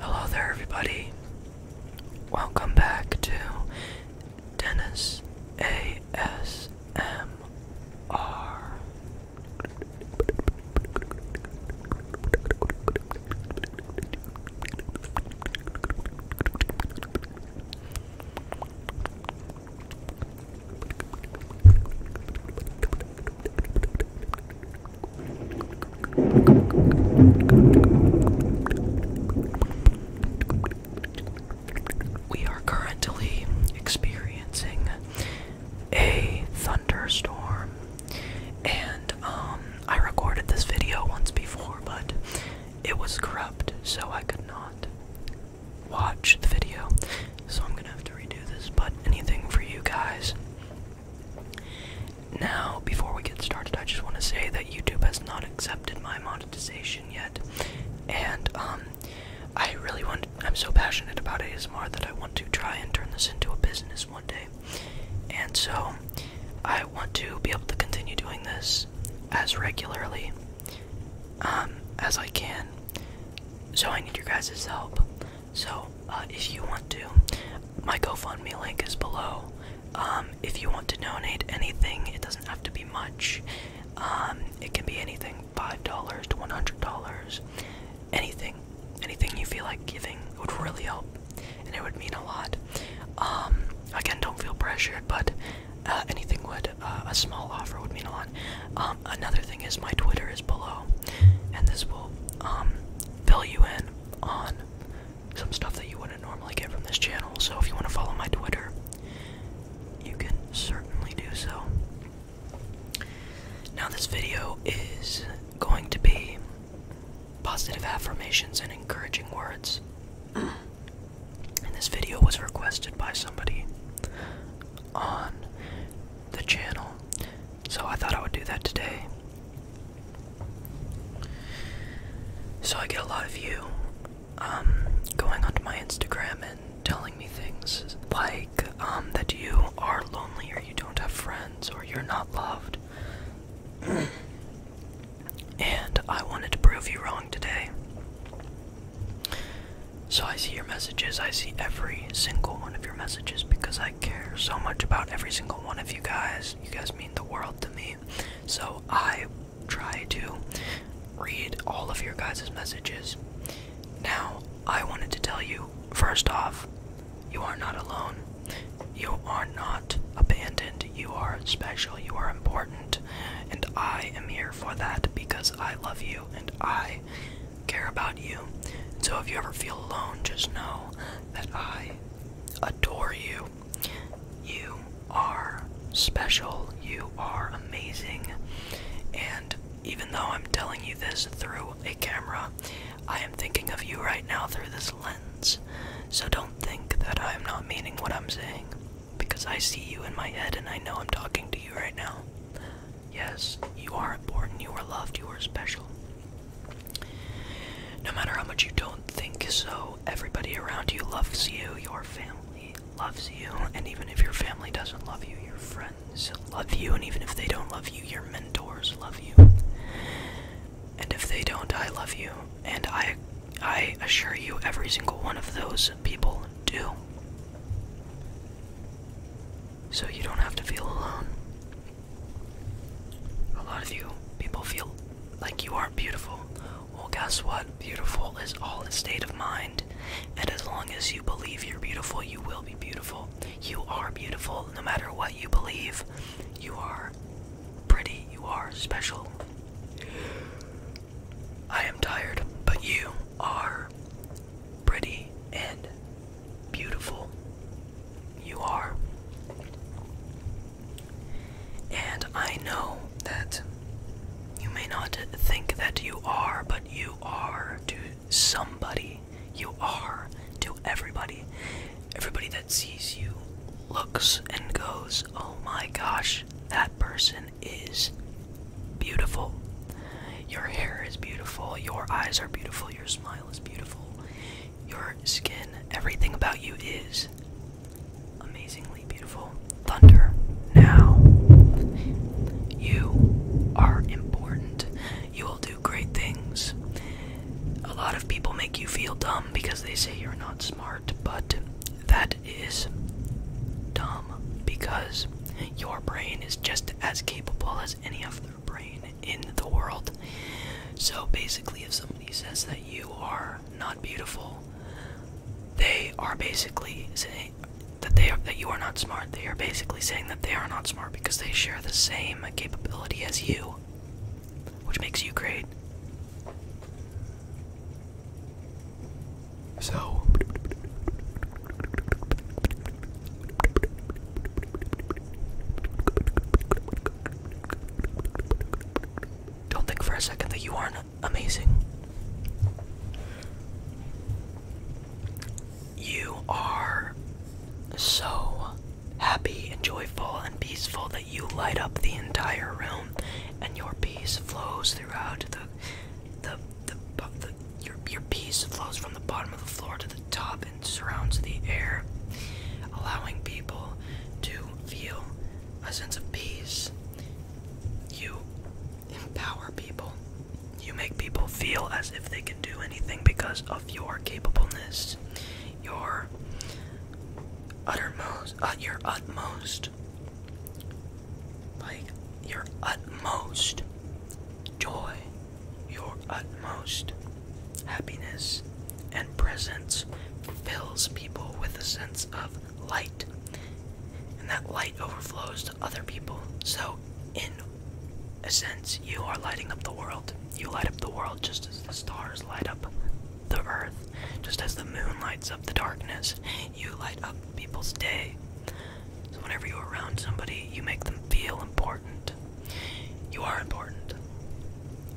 Hello there, everybody. Welcome back to Dennis ASMR. We are currently experiencing a thunderstorm, and um, I recorded this video once before, but it was corrupt, so I could not watch the video. So I'm gonna have to redo this, but anything for you guys. Now, before we get started, I just want to say that YouTube has not accepted my monetization yet, and um, I really want. I'm so passionate about ASMR that I want to try and turn this into a business one day, and so I want to be able to continue doing this as regularly um, as I can. So I need your guys' help. So uh, if you want to, my GoFundMe link is below. Um, if you want to donate anything, it doesn't have to be much. Um, it can be anything $5 to $100. Anything. Anything you feel like giving would really help and it would mean a lot. again, don't feel pressured, but uh, anything would. Uh, a small offer would mean a lot. Um, another thing is my Twitter is below, and this will um, fill you in on some stuff that you wouldn't normally get from this channel. So if you want to follow my Twitter, you can certainly do so. Now, this video is going to be positive affirmations and encouraging words. Uh. and this video was requested by somebody on the channel. So I thought I would do that today. So I get a lot of you um, going onto my Instagram and telling me things like um, that you are lonely or you don't have friends or you're not loved. and I wanted to prove you wrong today. So I see your messages. I see every single one of your messages because I care so much about every single one of you guys. You guys mean the world to me. So I try to read all of your guys' messages. Now, I wanted to tell you first off, you are not alone. You are not abandoned. You are special. You are important and I am here for that because I love you and I care about you. So if you ever feel alone, just know that I adore you. You are special, you are amazing, and even though I'm telling you this through a camera, I am thinking of you right now through this lens. So don't think that I am not meaning what I'm saying because I see you in my head and I know I'm talking to you right now. Yes, you are important, you are loved, you are special. No matter how much you don't think so, everybody around you loves you, your family loves you, and even if your family doesn't love you, your friends love you, and even if they don't love you, your mentors love you. And if they don't, I love you, and I I assure you, every single one of those people do. So you don't have to feel alone. A lot of you people feel like you are beautiful. Well, guess what? Beautiful is all a state of mind. And as long as you believe you're beautiful, you will be beautiful. You are beautiful no matter what you believe. You are pretty. You are special. I am tired, but you are pretty and beautiful. You are. And I know that you may not think that you are, but you are to somebody. You are to everybody. Everybody that sees you looks and goes, oh my gosh, that person is beautiful. Your hair is beautiful, your eyes are beautiful, your smile is beautiful, your skin, everything about you is amazingly beautiful. Thunder now. You are important. You will do great things. A lot of people make you feel dumb because they say you're not smart, but that is dumb because your brain is just as capable as any other brain in the world. So basically, if somebody says that you are not beautiful, they are basically saying that they are, that you are not smart. They are basically saying that they are not smart because they share the same capability as you, which makes you great. So don't think for a second that you aren't amazing. You are so happy and joyful and peaceful that you light up the entire room and your peace flows throughout the the, the, the your, your peace flows from the bottom of the floor to the top and surrounds the air allowing people to feel a sense of peace you empower people you make people feel as if they can do anything because of your capableness your uttermost, uh, your utmost, like your utmost joy, your utmost happiness and presence fills people with a sense of light. And that light overflows to other people. So, in a sense, you are lighting up the world. You light up the world just as the stars light up the earth, just as the moon lights up the darkness. You light up people's day. So, whenever you're around somebody, you make them feel important. You are important.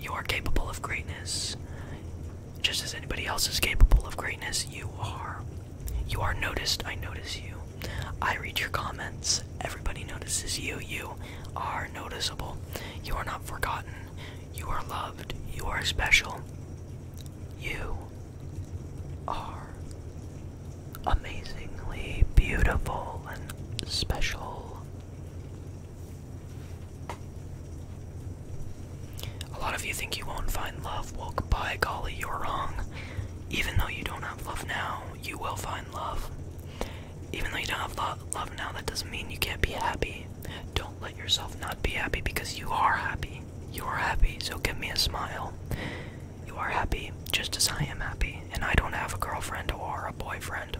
You are capable of greatness. Just as anybody else is capable of greatness, you are. You are noticed. I notice you. I read your comments. Everybody notices you. You are noticeable. You are not forgotten. You are loved. You are special. You are amazingly beautiful and special. A lot of you think you won't find love. Well, by golly, you're wrong. Even though you don't have love now, you will find love. Even though you don't have love now, that doesn't mean you can't be happy. Don't let yourself not be happy because you are happy. You are happy, so give me a smile. You are happy just as I am happy, and I don't have a girlfriend or a boyfriend.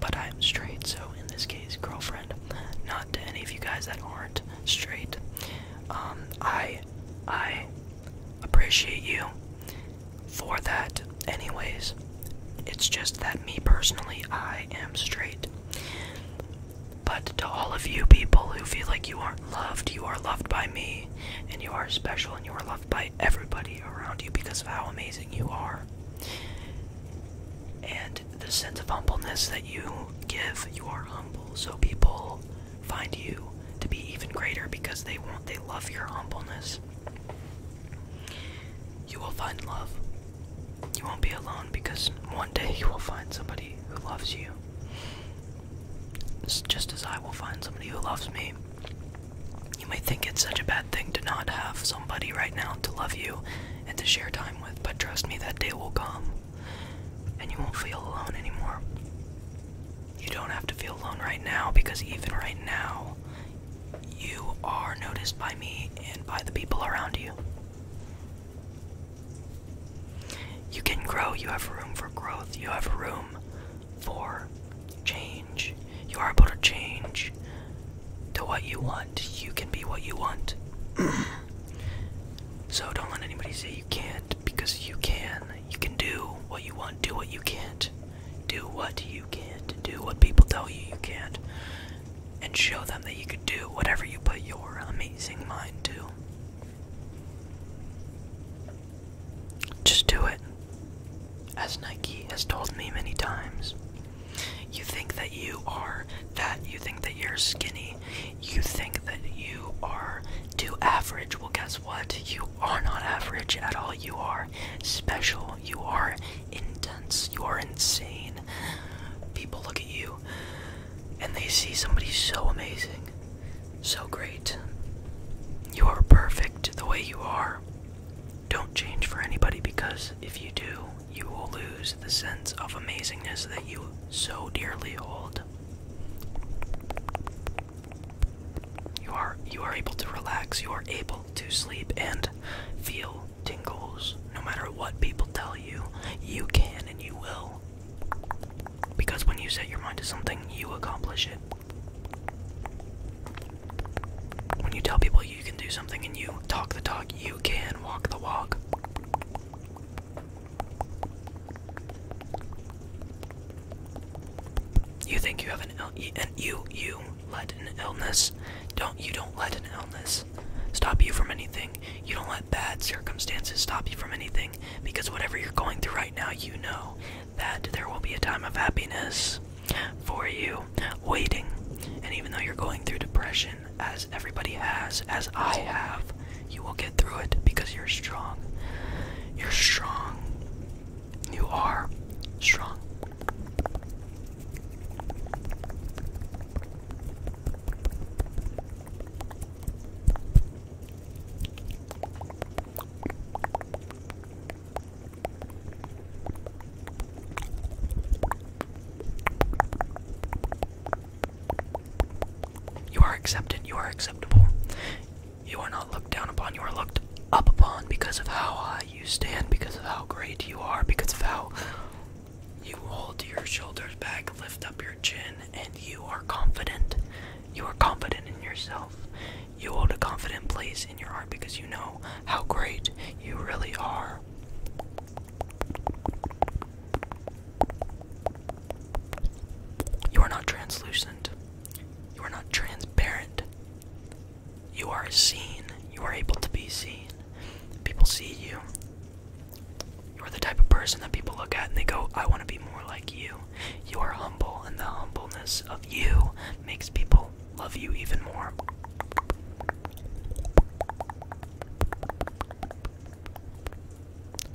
But I am straight, so in this case, girlfriend. Not to any of you guys that aren't straight. Um, I, I appreciate you for that, anyways. It's just that me personally, I am straight. But to all of you people who feel like you aren't loved, you are loved by me, and you are special, and you are loved by everybody around you because of how amazing you are. And the sense of humbleness that you give, you are humble. So people find you to be even greater because they want they love your humbleness. You will find love. You won't be alone because one day you will find somebody who loves you. just as I will find somebody who loves me. You may think it's such a bad thing to not have somebody right now to love you and to share time with, but trust me, that day will come and you won't feel alone anymore. You don't have to feel alone right now because even right now, you are noticed by me and by the people around you. You can grow, you have room for growth, you have room for change. You are able to change to what you want, you can be what you want. so don't let anybody say you can't because you can. You can do what you want, do what you can't. Do what you can't. Do what people tell you you can't. And show them that you could do whatever you put your amazing mind to. Just do it. As Nike has told me many times. You think that you are that, you think that you're skinny you think that you are too average. Well, guess what? You are not average at all. You are special. You are intense. You are insane. People look at you and they see somebody so amazing, so great. You are perfect the way you are. Don't change for anybody because if you do, you will lose the sense of amazingness that you so dearly hold. You are you are able to relax, you are able to sleep and feel tingles. No matter what people tell you, you can and you will. Because when you set your mind to something, you accomplish it. When you tell people you can do something and you talk the talk, you can walk the walk. You think you have an Ill you let an illness don't you don't let an illness stop you from anything. You don't let bad circumstances stop you from anything because whatever you're going through right now, you know that there will be a time of happiness for you waiting. And even though you're going through depression, as everybody has, as I have, you will get through it because you're strong. You're strong. You are strong. You are accepted, you are acceptable. You are not looked down upon, you are looked up upon because of how high you stand, because of how great you are, because of how you hold your shoulders back, lift up your chin, and you are confident. You are confident in yourself. You hold a confident place in your heart because you know how great you really are. You are not translucent. You are not transparent. You are seen. You are able to be seen. People see you. You are the type of person that people look at and they go, I want to be more like you. You are humble, and the humbleness of you makes people love you even more.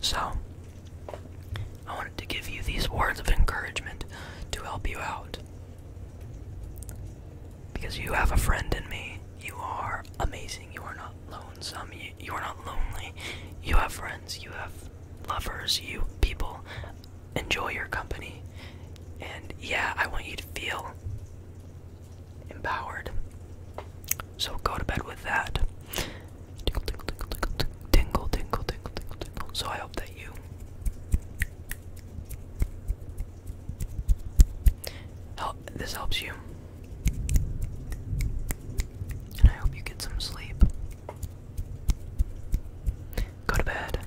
So, I wanted to give you these words of encouragement to help you out. Because you have a friend in me. You are amazing. You are not lonesome. You, are not lonely. You have friends. You have lovers. You people enjoy your company. And yeah, I want you to feel empowered. So go to bed with that. Tingle, tingle, tingle, tingle, tingle, tingle, tingle, tingle. So I hope that you help. This helps you, and I hope you get some sleep. Go to bed.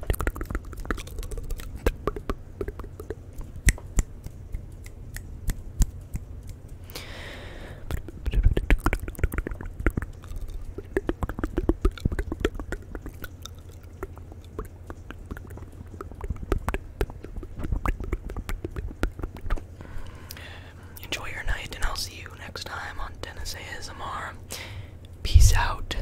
Enjoy your night, and I'll see you next time on Dennis ASMR. Peace out.